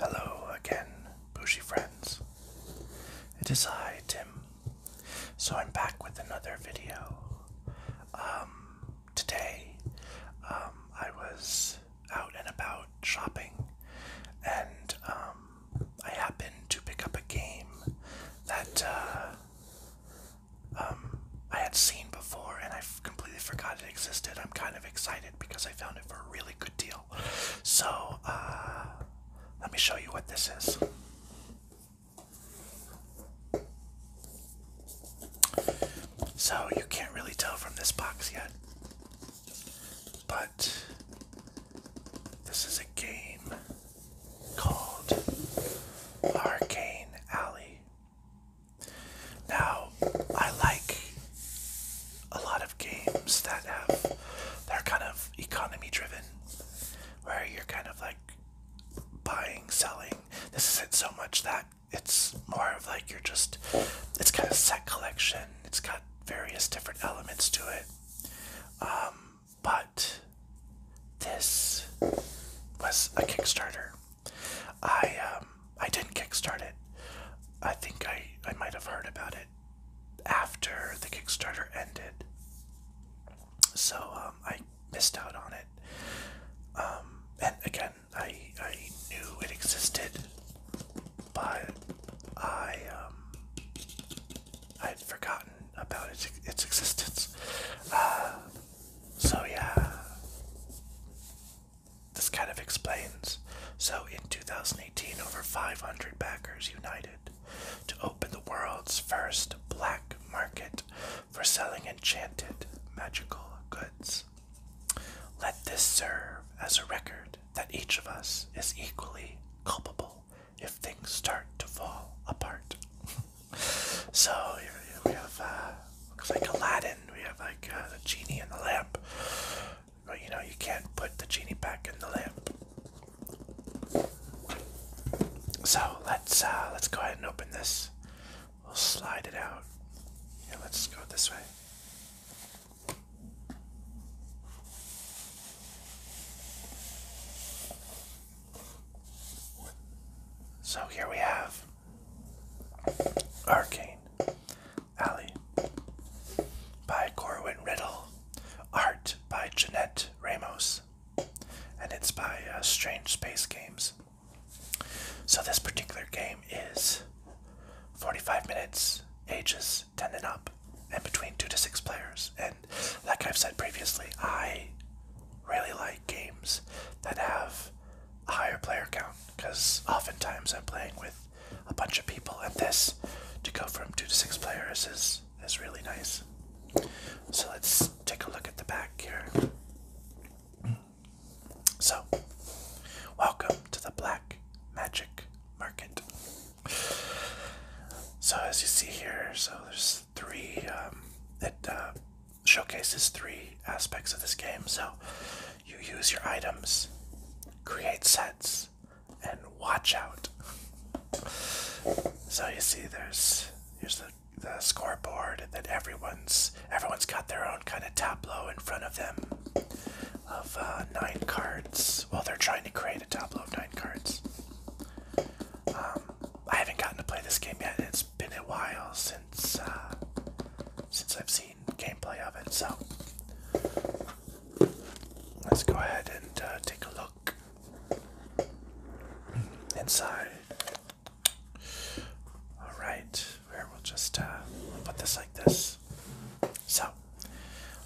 Hello again, Bushy friends. It is I, Tim. So I'm back with another video. Um, today, um, I was out and about shopping, and um, I happened to pick up a game that uh, um, I had seen before and I completely forgot it existed. I'm kind of excited because I found it for a really good deal. So, uh, let me show you what this is. So, you can't really tell from this box yet, but this is a game called Arcane Alley now, I like a lot of games that have they're kind of economy driven, where you're kind of like buying, selling. This isn't so much that it's more of like you're just it's kind of set collection. It's got various different elements to it. Um, but this was a Kickstarter. I um I didn't kickstart it. I think I I might have heard about it after the Kickstarter ended. So um, I missed out on it. Um and again I I knew it existed but I um I had forgotten about its its existence. Uh, so, yeah, this kind of explains. So, in 2018, over 500 backers united to open the world's first black market for selling enchanted magical goods. Let this serve as a record that each of us is equally culpable if things start to fall apart. so we have uh, looks like Aladdin. We have like uh, the genie in the lamp, but you know you can't put the genie back in the lamp. So let's uh, let's go ahead and open this. We'll slide it out. Yeah, let's go this way. So here we have Arcane Alley by Corwin Riddle, art by Jeanette Ramos, and it's by uh, Strange Space Games. So this particular game is 45 minutes, ages 10 and up, and between 2 to 6 players. And like I've said previously, I really like games that have a higher player count because oftentimes I'm playing with a bunch of people, and this to go from two to six players is is really nice. So let's take a look at the back here. So, welcome to the Black Magic Market. So as you see here, so there's three, um, uh, showcases three aspects of this game. So you use your items, create sets, and watch out. So you see, there's here's the, the scoreboard that everyone's everyone's got their own kind of tableau in front of them of uh, nine cards. while they're trying to create a tableau of nine cards. Um, I haven't gotten to play this game yet. It's it's been a while since uh, since I've seen gameplay of it, so let's go ahead and uh, take a look inside. All right, where we'll just uh, put this like this. So,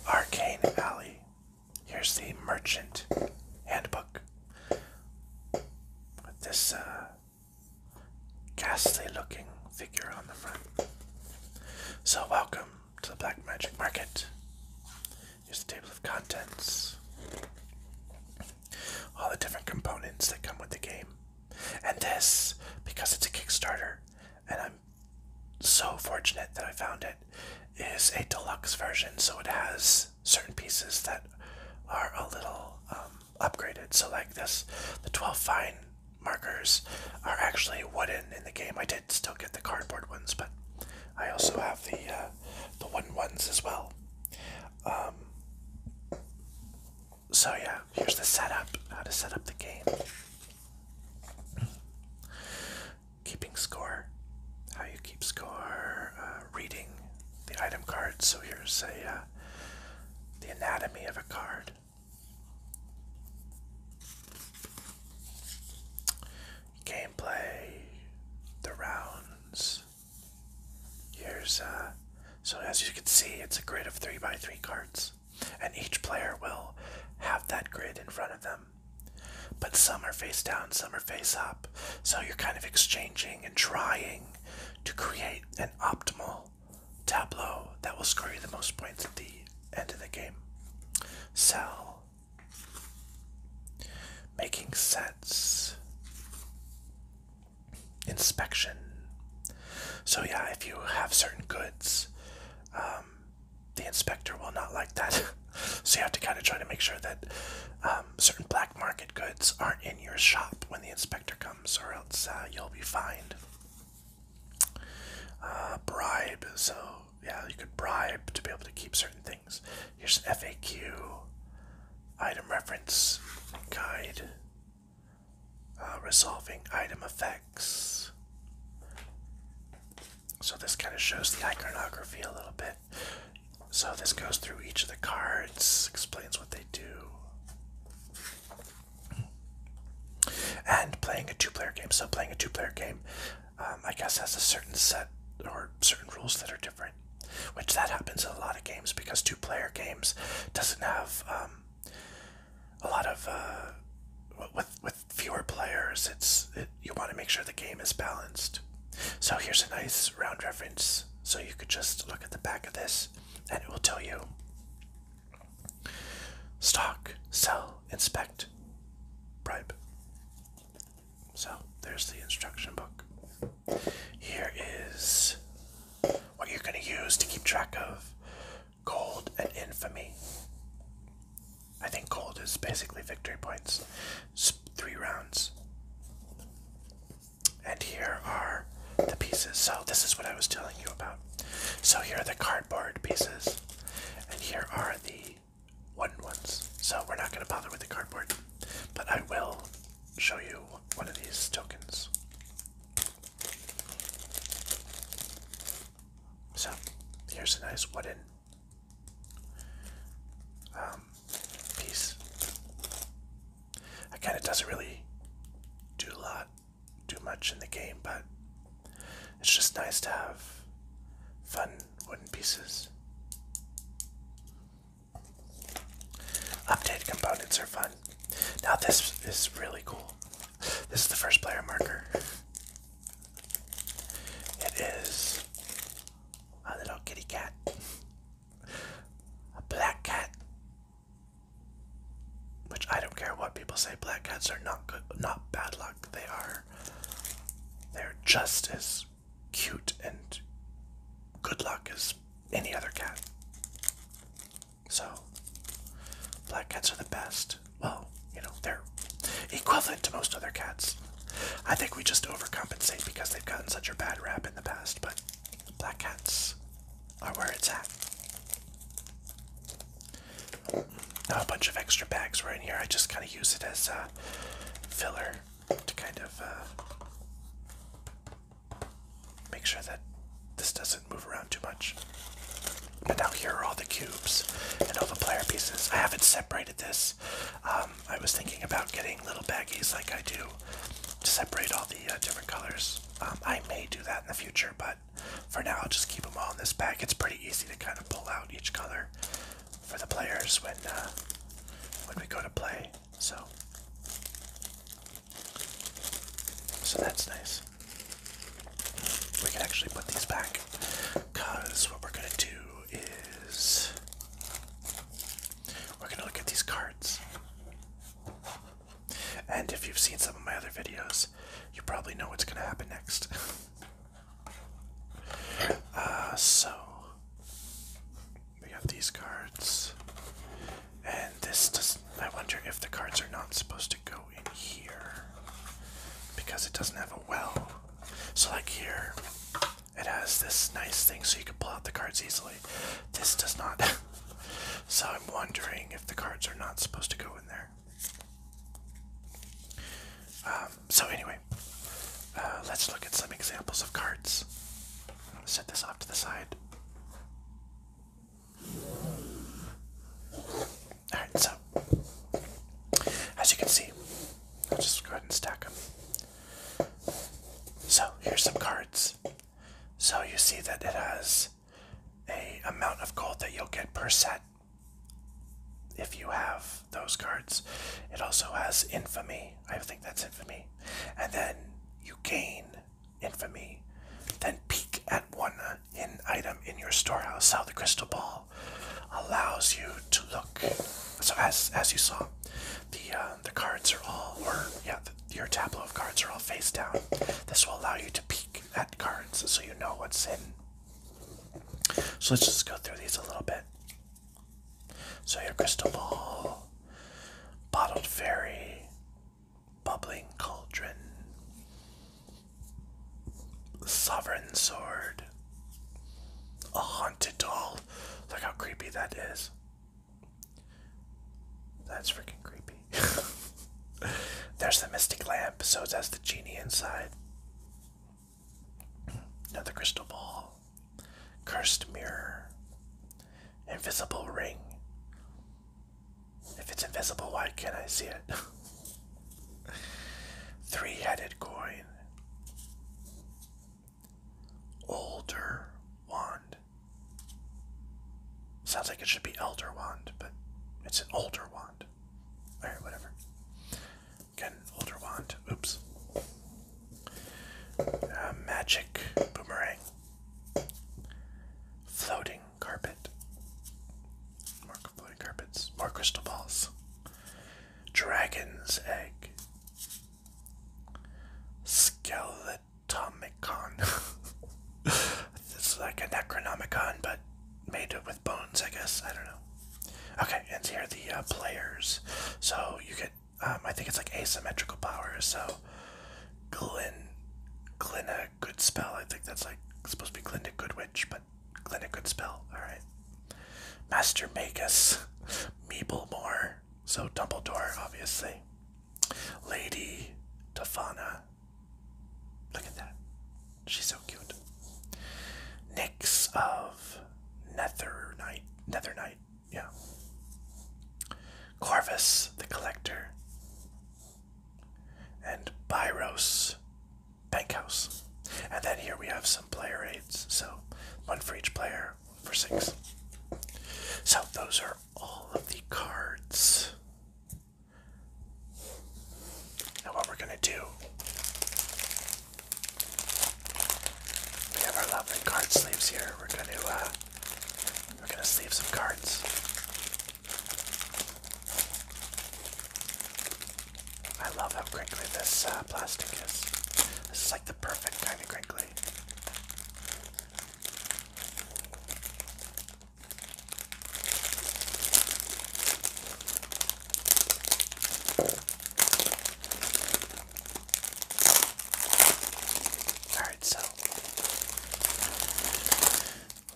Arcane Alley. Here's the merchant handbook with this uh, ghastly looking figure on the front. So, welcome to the Black Magic Market. Here's the table of contents, all the different components that come with the game. And this, because it's a Kickstarter, and I'm so fortunate that I found it, is a deluxe version, so it has certain pieces that are a little um, upgraded. So like this, the 12 fine markers are actually wooden in the game. I did still get the cardboard ones, but I also have the uh, the wooden ones as well. Um, so yeah, here's the setup. How to set up the game. Keeping score. How you keep score. Uh, reading the item cards. So here's a uh, the anatomy of a card. Gameplay, the rounds. Here's uh, so as you can see, it's a grid of three by three cards, and each player will have that grid in front of them. But some are face down, some are face up. So you're kind of exchanging and trying to create an optimal tableau that will score you the most points at the end of the game. Sell. Making sense. Inspection. So, yeah, if you have certain goods, um, the inspector will not like that. so, you have to kind of try to make sure that um, um, certain black market goods aren't in your shop when the inspector comes, or else uh, you'll be fined. Uh, bribe, so yeah, you could bribe to be able to keep certain things. Here's FAQ, item reference guide, uh, resolving item effects. So this kind of shows the iconography a little bit. So this goes through each of the cards, explains what they do. And playing a two player game. So playing a two player game, um, I guess, has a certain set or certain rules that are different. Which that happens in a lot of games because two player games doesn't have um, a lot of. Uh, with with fewer players, it's it you want to make sure the game is balanced. So here's a nice round reference. So you could just look at the back of this and it will tell you stock, sell, inspect, bribe. So there's the instruction book. Here is what you're going to use to keep track of gold and infamy. I think gold is basically victory points three rounds. And here are the pieces. So, this is what I was telling you about. So, here are the cardboard pieces, and here are the wooden ones. So, we're not going to bother with the cardboard, but I will show you one of these tokens. So, here's a nice wooden um, piece. Again, it doesn't really do a lot, do much in the game, but it's just nice to have fun wooden pieces. Updated components are fun. Now this is really cool. This is the first player marker. It is a ah, little kitty cat, a black cat, which I don't care what people say. Black cats are not good, not bad luck. They are, they're just as cute and good luck as any other cat. So, black cats are the best. Well, you know, they're equivalent to most other cats. I think we just overcompensate because they've gotten such a bad rap in the past, but black cats are where it's at. Now a bunch of extra bags were in here. I just kind of use it as a filler to kind of uh, make sure that this doesn't move around too much. And now here are all the cubes and all the player pieces. I haven't separated this um, I was thinking about getting little baggies like I do to separate all the uh, different colors. Um, I may do that in the future, but for now I'll just keep them all in this bag. It's pretty easy to kind of pull out each color for the players when uh, when we go to play. So, so that's nice. We can actually put these back. Because what we're going to do is we're going to look at these cards. And if you've seen some of my other videos, you probably know what's going to happen next. Uh, so, we got these cards. And this does. I wonder if the cards are not supposed to go in here. Because it doesn't have a well. So, like here, it has this nice thing so you can pull out the cards easily. This does not. so I'm wondering if the cards are not supposed to go in there. Um, so anyway, uh, let's look at some examples of cards. I'm set this off to the side. Alright, so as you can see, I'll just go ahead and stack them. So here's some cards. So you see that it has a amount of gold that you'll get per set if you have those cards. It also has infamy. I think that's infamy. And then you gain infamy. Then peek at one in item in your storehouse. How the crystal ball allows you to look. So as as you saw, the uh, the cards are all, or yeah, your tableau of cards are all face down. This will allow you to peek at cards so you know what's in. So let's just go through these a little bit. So your crystal ball, bottled fairy, bubbling cauldron, sovereign sword, a haunted doll. Look how creepy that is. That's freaking creepy. There's the mystic lamp, so that's the genie inside. Another crystal ball. Cursed mirror. Invisible ring. If it's invisible, why can't I see it? Three headed coin. Older wand. Sounds like it should be elder wand, but it's an older wand. Alright, whatever. Again, older wand. Oops. Uh, magic boomerang. Floating carpet. More floating carpets. More crystal balls. Dragon's Egg. Skeletomicon. it's like a Necronomicon, but made with bones, I guess. I don't know. Okay, and here are the uh, players. So you get, um, I think it's like asymmetrical powers. So Glinda, good spell. I think that's like supposed to be Glinda Goodwitch, Clinic could spell. Alright. Master Magus, Meeblemore, so Dumbledore, obviously. Lady Tafana. Look at that. She's so cute. Nix of Nether Knight. Nether Knight, yeah. Corvus the Collector. And Byros Bankhouse. And then here we have some player aids, so one for each player for six. So those are all of the cards. Now, what we're going to do, we have our lovely card sleeves here. We're going to, uh, we're going to sleeve some cards. I love how crinkly this uh, plastic is. This is like the perfect kind of crinkly. Alright, so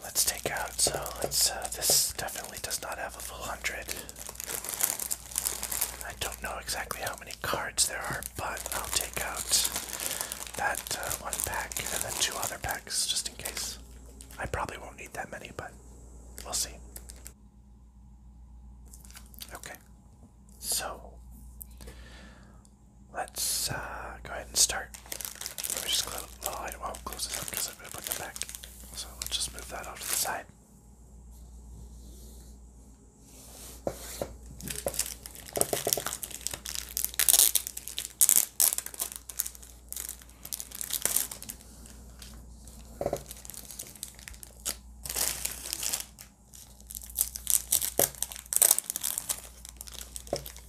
let's take out. So uh, this definitely does not have a full hundred. I don't know exactly how many cards there are, but I'll take out that uh, one pack and then two other packs just in case. I probably won't need that many, but we'll see. Okay, so let's uh, go ahead and start. Let me just close. Well, I close this up because I'm going to put them back. So let's just move that off to the side.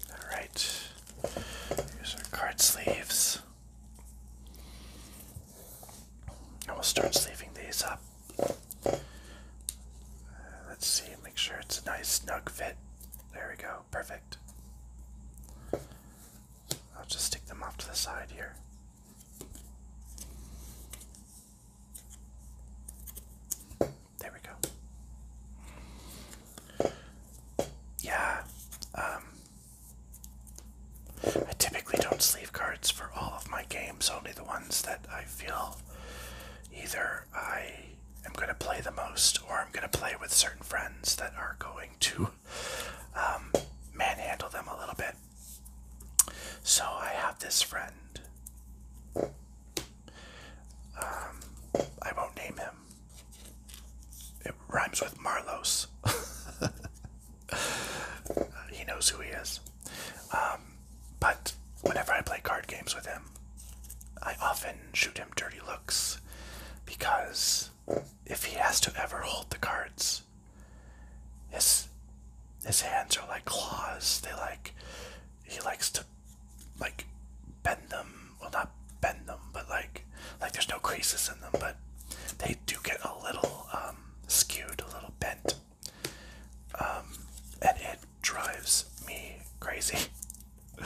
All right, here's our card sleeves. I will start sleeving these up. Uh, let's see, make sure it's a nice snug fit. There we go, perfect. I'll just stick them off to the side here. There we go. Yeah, um, I typically don't sleeve cards for all of my games, only the ones that I feel either I am going to play the most or I'm going to play with certain friends that are going to um, manhandle them a little bit. So I have this friend. Um, I won't name him. It rhymes with Marlos. he knows who he is. Um, but whenever I play card games with him, I often shoot him dirty looks because if he has to ever hold the cards, his his hands are like claws. They like he likes to like bend them. Well, not bend them, but like like there's no creases in them, but they do get a little um, skewed, a little bent, um, and it drives me crazy.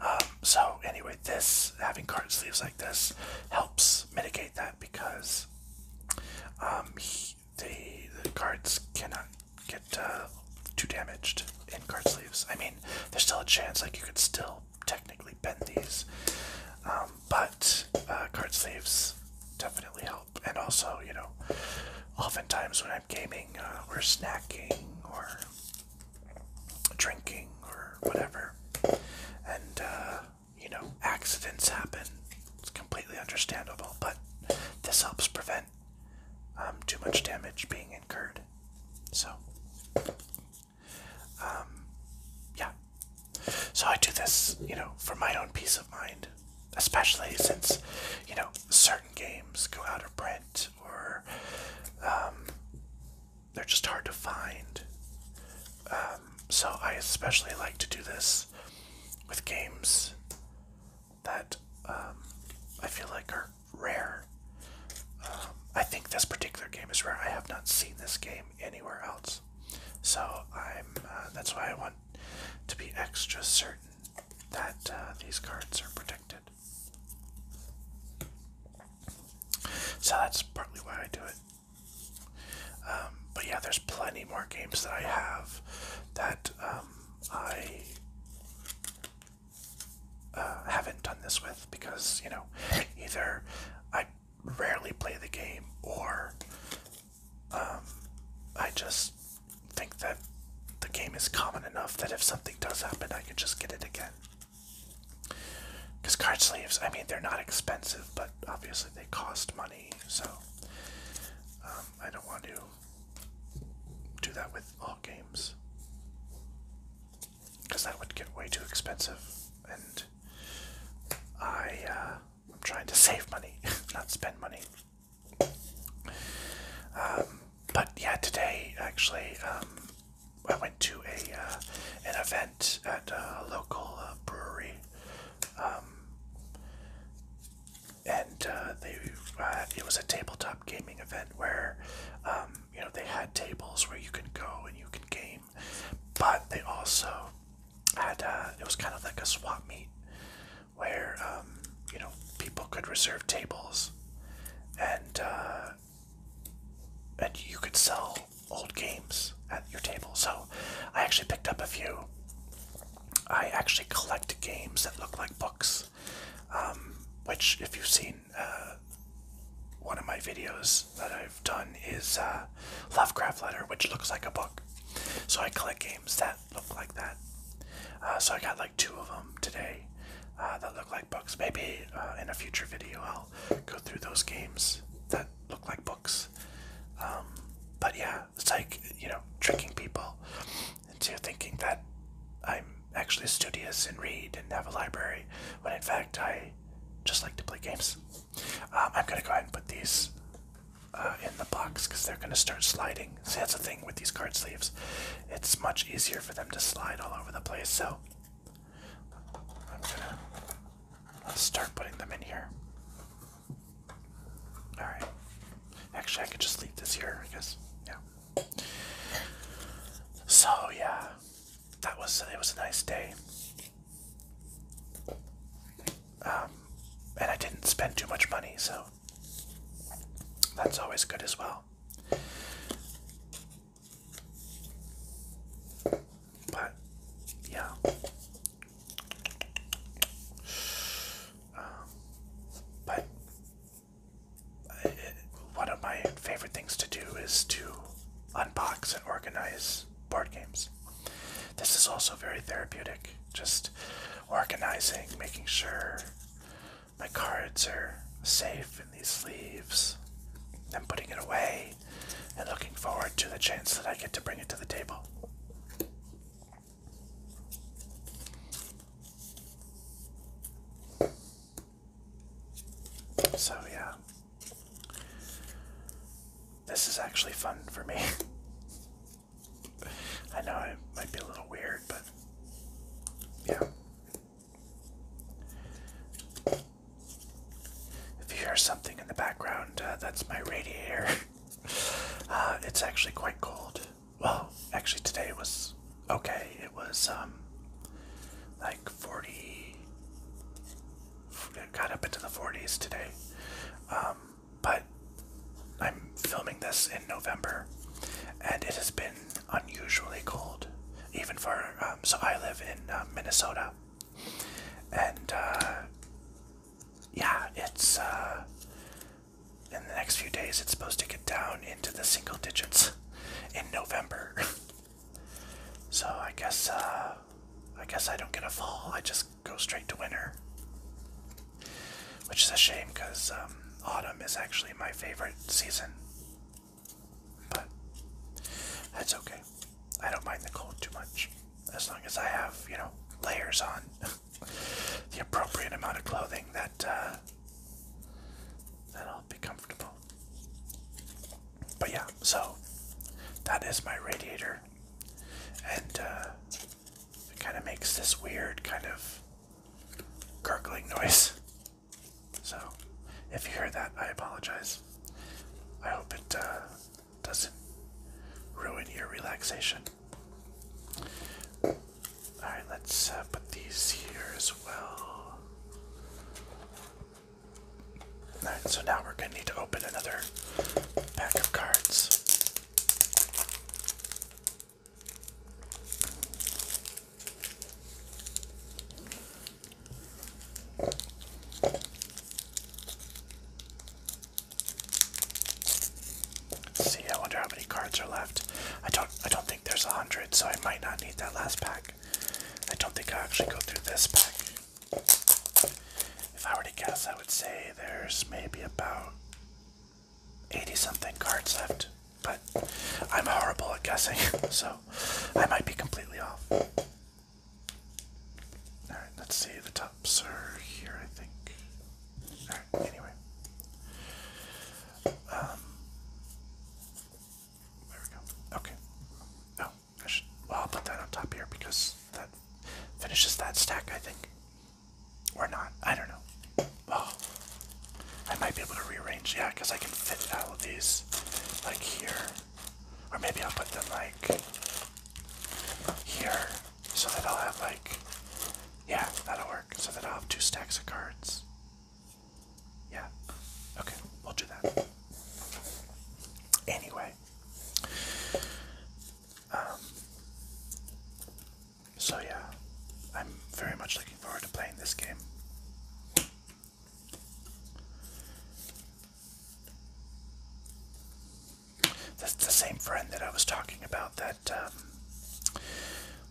Um, so anyway, this having card sleeves like this helps mitigate that because um, the cards cannot get uh, too damaged in card sleeves. I mean, there's still a chance like you could still technically bend these, um, but uh, card sleeves definitely help. And also, you know, oftentimes when I'm gaming uh, or snacking or drinking or whatever, and uh, you know, accidents happen, it's completely understandable. But this helps prevent um, too much damage being incurred. So, um, yeah. So I do this, you know, for my own peace of mind, especially since, you know, certain games go out of print or um, they're just hard to find. Um, so I especially like to do this with games that I feel like are rare. I think this particular game is rare. I have not seen this game anywhere else. So I'm. Uh, that's why I want to be extra certain that uh, these cards are protected. So that's partly why I do it. Um, but yeah, there's plenty more games that I have that um, I uh, haven't done this with because, you know, either I rarely play the game, or um, I just think that the game is common enough that if something does happen, I can just get it again. Because card sleeves, I mean, they're not expensive, but obviously they cost money, so um, I don't want to do that with all games because that would get way too expensive, and I uh, I'm trying to save money, not spend money. Um, but yeah, today actually um, I went to a uh, an event at a local uh, brewery, um, and they it was a tabletop gaming event where you know they had tables where you can go and you can game but they also had uh, it was kind of like a swap meet where um, you know people could reserve tables and uh, and you could sell old games at your table. So I actually picked up a few. I actually collect games that look like books, um, which if you've seen uh, one of my videos that I've done is uh, Lovecraft Letter, which looks like a book. So I collect games that look like that. Uh, so I got like two of them today uh, that look like books. Maybe in a future video I'll go through those games that look like books. Um, but yeah, it's like, you know, tricking people into thinking that I'm actually studious and read and have a library when in fact I just like to play games. Um, I'm gonna go ahead and put these uh, in the box because they're gonna start sliding. See, that's the thing with these card sleeves; it's much easier for them to slide all over the place. So I'm gonna start putting them in here. All right. Actually, I could just leave this here, because Yeah. So yeah, that was it was a nice day. Um, and I didn't spend too much money, so that's always good as well. But yeah. Um, but one of my favorite things to do is to unbox and organize board games. This is also very therapeutic, just organizing, making sure my cards are safe in these sleeves, and putting it away, and looking forward to the chance that I get to bring it to the table. So, yeah. This is actually fun for me. I know it might be a little weird, but yeah. If you hear something in the background, uh, that's my radiator. uh, it's actually quite cold. Well, actually, today was okay. It was um, 40. got up into the 40s today. Um, but I'm filming this in November, and it has been unusually cold, even for. Um, so I live in uh, Minnesota, and uh, yeah, it's uh, in the next few days. It's supposed to get down into the single digits in November. So I guess uh, I guess I don't get a fall. I just go straight to winter. Which is a shame because um, autumn is actually my favorite season. But that's okay. I don't mind the cold too much. As long as I have, you know, layers on. the appropriate amount of clothing that uh, that I'll be comfortable. But yeah, so that is my radiator. And uh, it kind of makes this weird kind of gurgling noise. So if you hear that, I apologize. I hope it uh, doesn't ruin your relaxation. Alright, let's uh, put these here as well. Alright, so now we're going to need to open another pack of cards. see, I wonder how many cards are left. I don't I don't think there's a hundred, so I might not need that last pack. I don't think i actually go through this pack. If I were to guess, I would say there's maybe about 80 something cards left, but I'm horrible at guessing, so I might be completely off. Alright, let's see. The tops are here, I think. Alright, anyway. Um, there we go. Okay. No, oh, I should. Well, I'll put that on top here because that finishes that stack, I think. Or not. I don't know. Oh. I might be able to rearrange, yeah, because I can fit all of these, like here. Or maybe I'll put them, like, here, so that I'll have, like, yeah, that'll work, so that I'll have two stacks of cards. Yeah. Okay, we'll do that. Anyway. Um, so yeah, I'm very much looking forward to playing this game. the same friend that I was talking about that um,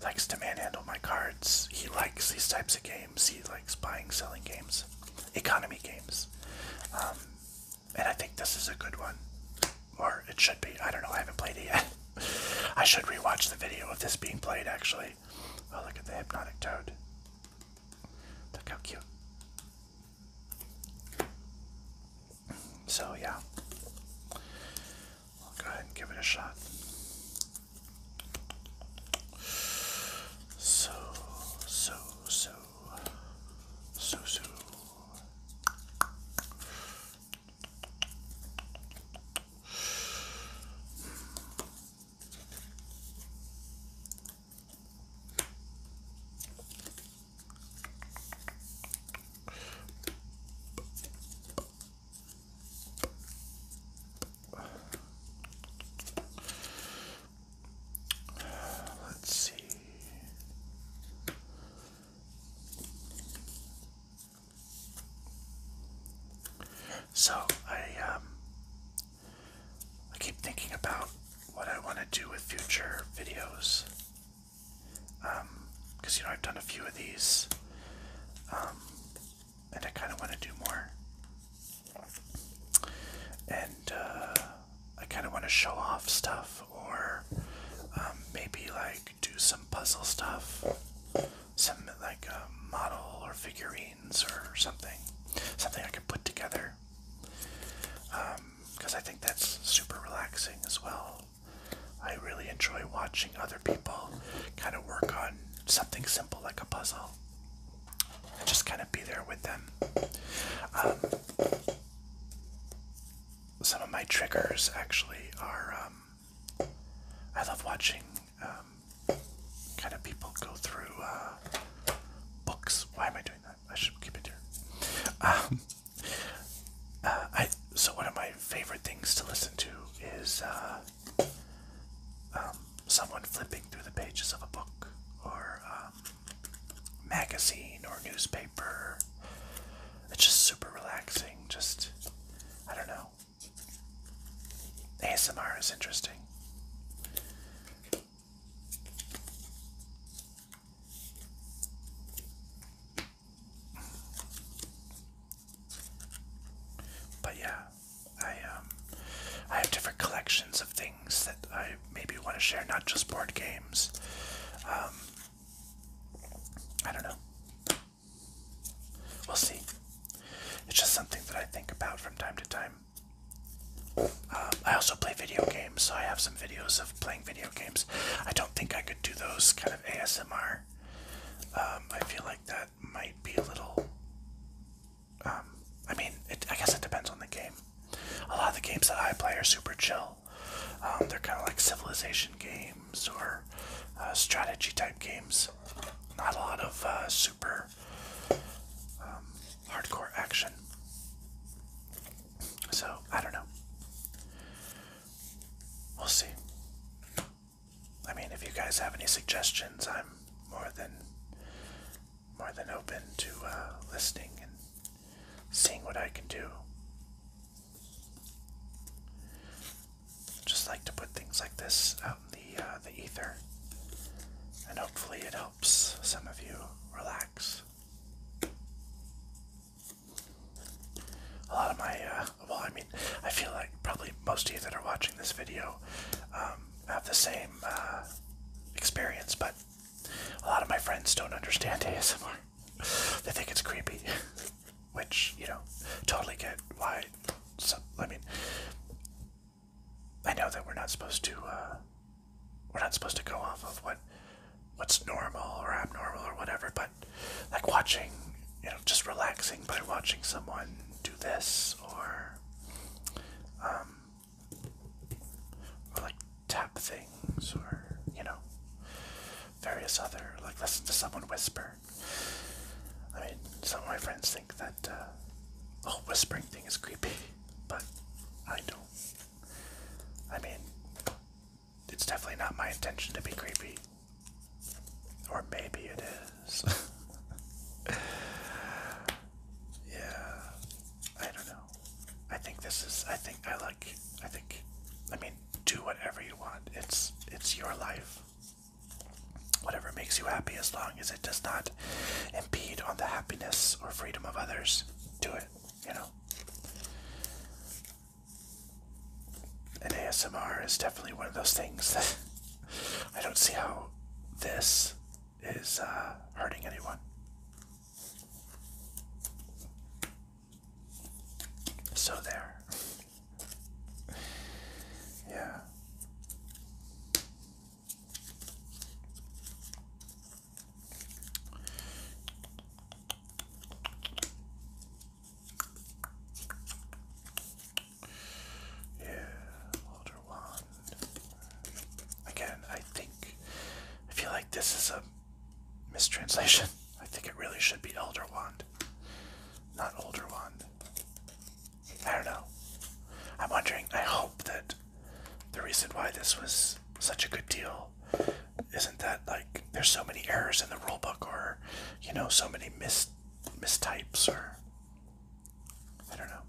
likes to manhandle my cards. He likes these types of games games. He likes buying, selling games, economy games. Um, and I think this is a good one. Or it should be. I don't know. I haven't played it yet. I should rewatch the video of this being played, actually. Oh, look at the hypnotic toad. Look how cute. So, yeah. I'll go ahead and give it a shot. So, so, so, so, so. Let's see. So I um, I keep thinking about what I want to do with future videos. Um, because you know I've done a few of these. Um, and I kind of want to do more. And uh, I kind of want to show off stuff, or um, maybe like do some puzzle stuff, some like a model or figurines or something, something I can put together. Because um, I think that's super relaxing as well. I really enjoy watching other people kind of work on something simple like a puzzle and just kind of be there with them. Um, some of my triggers actually are um, I love watching um, kind of people go through uh, books. Why am I doing that? I should keep it here. Uh, I so one of my favorite things to listen to is uh, um, someone flipping through the pages of a book or um, magazine or newspaper. It's just super relaxing. Just, I don't know. ASMR is interesting. But yeah, I um, I have different collections of things that I maybe want to share, not just board games. Um, I don't know. We'll see. It's just something that I think about from time to time. Um, I also play video games, so I have some videos of playing video games. I don't think I could do those kind of ASMR. Um, I feel like that might be a little. Um, I mean, I guess it depends on the game. A lot of the games that I play are super chill. Um, they're kind of like civilization games or uh, strategy type games. Not a lot of uh, super um, hardcore action. So, I don't know. We'll see. I mean, if you guys have any suggestions, I'm more than more than open to uh, listening and seeing what I can do. Just like to put things like this out in the uh, the ether, and hopefully it helps some of you relax. A lot of my uh, well, I mean, I feel like probably most of you that are watching this video um, have the same uh, experience, but a lot of my friends don't understand ASMR. they think it's creepy, which, you know, totally get why. So, I mean, I know that we're not supposed to, uh, we're not supposed to go off of what what's normal or abnormal or whatever, but like watching, you know, just relaxing by watching someone do this um, or, like tap things or, you know, various other, like listen to someone whisper. I mean, some of my friends think that uh, the whole whispering thing is creepy, but I don't. I mean, it's definitely not my intention to be creepy. Or maybe it is. yeah. I don't know. I think this is I think I like I think I mean do whatever you want. It's it's your life. Whatever makes you happy as long as it does not impede on the happiness or freedom of others. Do it, you know. And ASMR is definitely one of those things that I don't see how this is uh, hurting anyone. So there. Yeah. Yeah, Walter Wand. Again, I think I feel like this is a mistranslation. I think it really should be Elder Wand, not Older Wand. I don't know. I'm wondering, I hope that the reason why this was such a good deal isn't that, like, there's so many errors in the rulebook or, you know, so many mis mis mistypes or I don't know.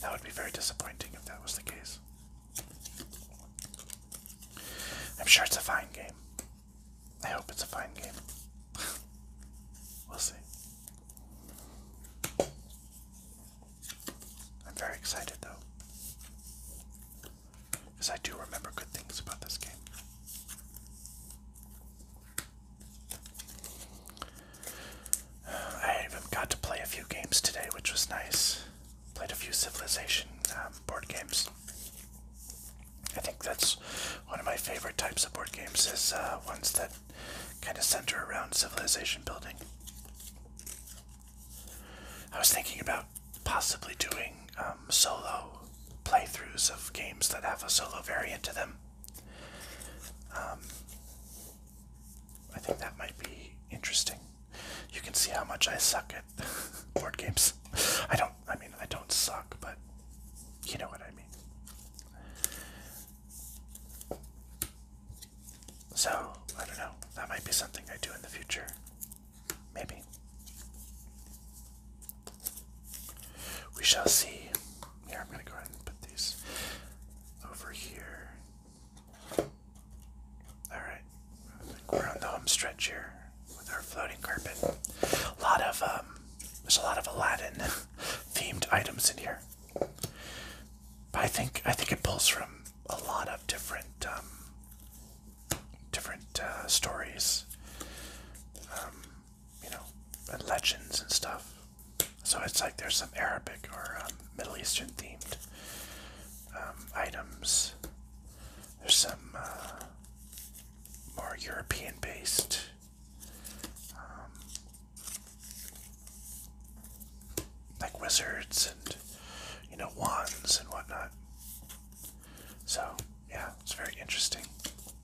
That would be very disappointing if that was the case. I'm sure it's a fine game. I hope it's a fine game. we'll see. I'm very excited though. Because I do remember good things about this game. I even got to play a few games today, which was nice. Played a few Civilization um, board games. I think that's one of my favorite types of board games is uh, ones that kind of center around civilization building. I was thinking about possibly doing um, solo playthroughs of games that have a solo variant to them. Um, I think that might be interesting. You can see how much I suck at board games. I don't, I mean, I don't suck, but you know what I mean. So, I don't know. That might be something I do in the future. Maybe. We shall see. Here, I'm going to go ahead and put these over here. Alright, I we're on the home stretch here with our floating carpet. A lot of, um, there's a lot of Aladdin themed items in here. But I think, I think it pulls from a lot of different, um, different, uh, stories. Um, you know, and legends and stuff. So it's like there's some Arabic or um, Middle Eastern themed um, items. There's some uh, more European based. Um, like wizards and you know wands and whatnot so yeah it's very interesting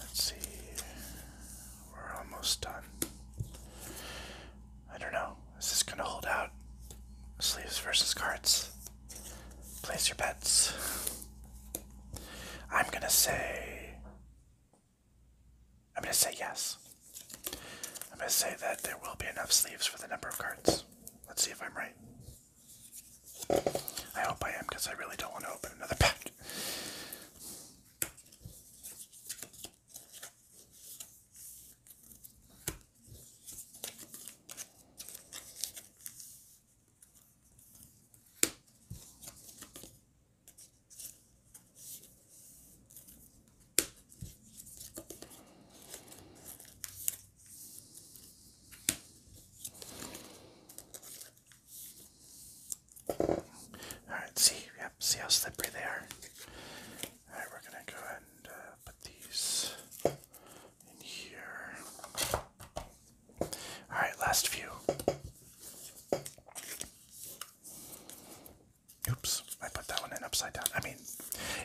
Let's see. We're almost done. I don't know. Is this gonna hold out? Sleeves versus cards. Place your bets. I'm gonna say. I'm gonna say yes. I'm gonna say that there will be enough sleeves for the number of cards. Let's see if I'm right. I hope I am because I really don't want to open another pack. Alright, see, yep, see how slippery they are. Alright, we're gonna go ahead and uh, put these in here. Alright, last few. Oops, I put that one in upside down. I mean,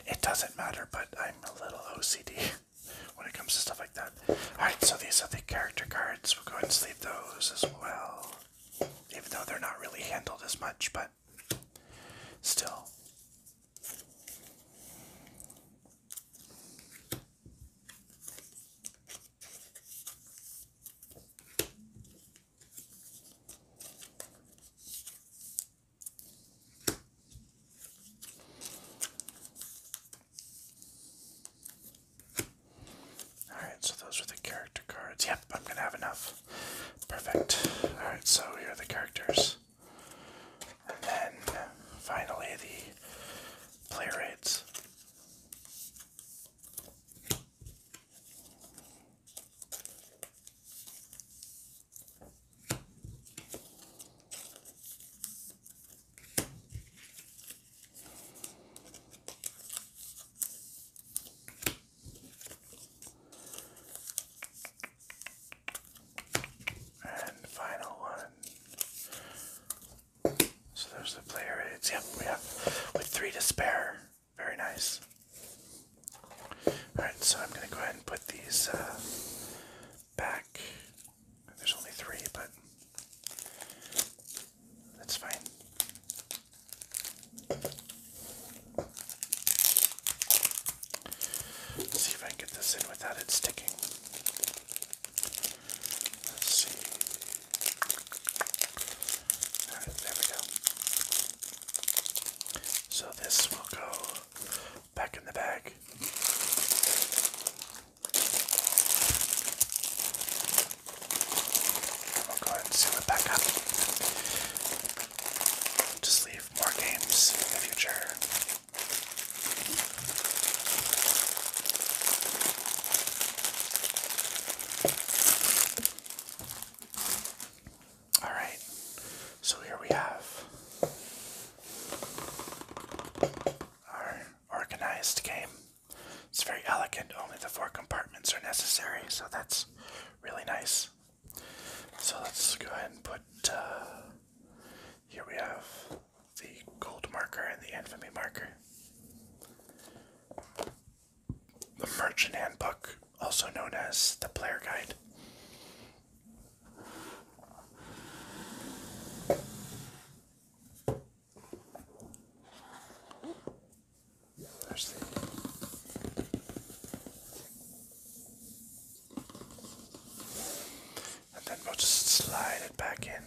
it doesn't matter, but I'm a little OCD. when it comes to stuff like that. Alright, so these are the character cards. We'll go ahead and sleeve those as well. Even though they're not really handled as much, but still. Alright, so those are the character cards. Yep, I'm gonna have enough. Perfect. Alright, so here are the characters. And then finally the player rates. And final one. So there's the player aids. Yep, we have with three to spare. Very nice. Alright, so I'm going to go ahead and put these uh, back. There's only three, but that's fine. see if I can get this in without it sticking. Let's see. there we go. So this will go back in the bag. We'll go ahead and seal it back up. Just leave more games in the future. All right, so here we have our organized game. It's very elegant, only the four compartments are necessary, so that's really nice. So let's go ahead and put uh, here we have the gold marker and the infamy marker. The merchant handbook, also known as the player guide and then we'll just slide it back in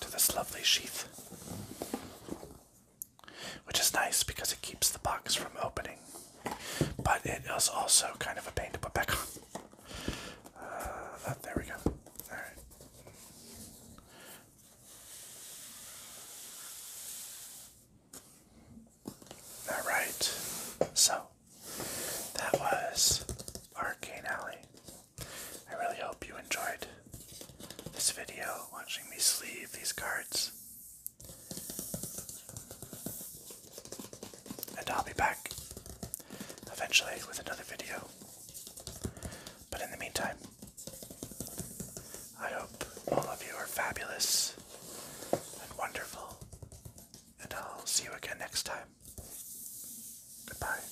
to this lovely sheath which is nice because it keeps the box from opening, but it is also kind of a pain to put back on. Uh, oh, there we go. All right. All right, so that was Arcane Alley. I really hope you enjoyed this video, watching me sleeve these cards. And I'll be back eventually with another video. But in the meantime, I hope all of you are fabulous and wonderful, and I'll see you again next time. Goodbye.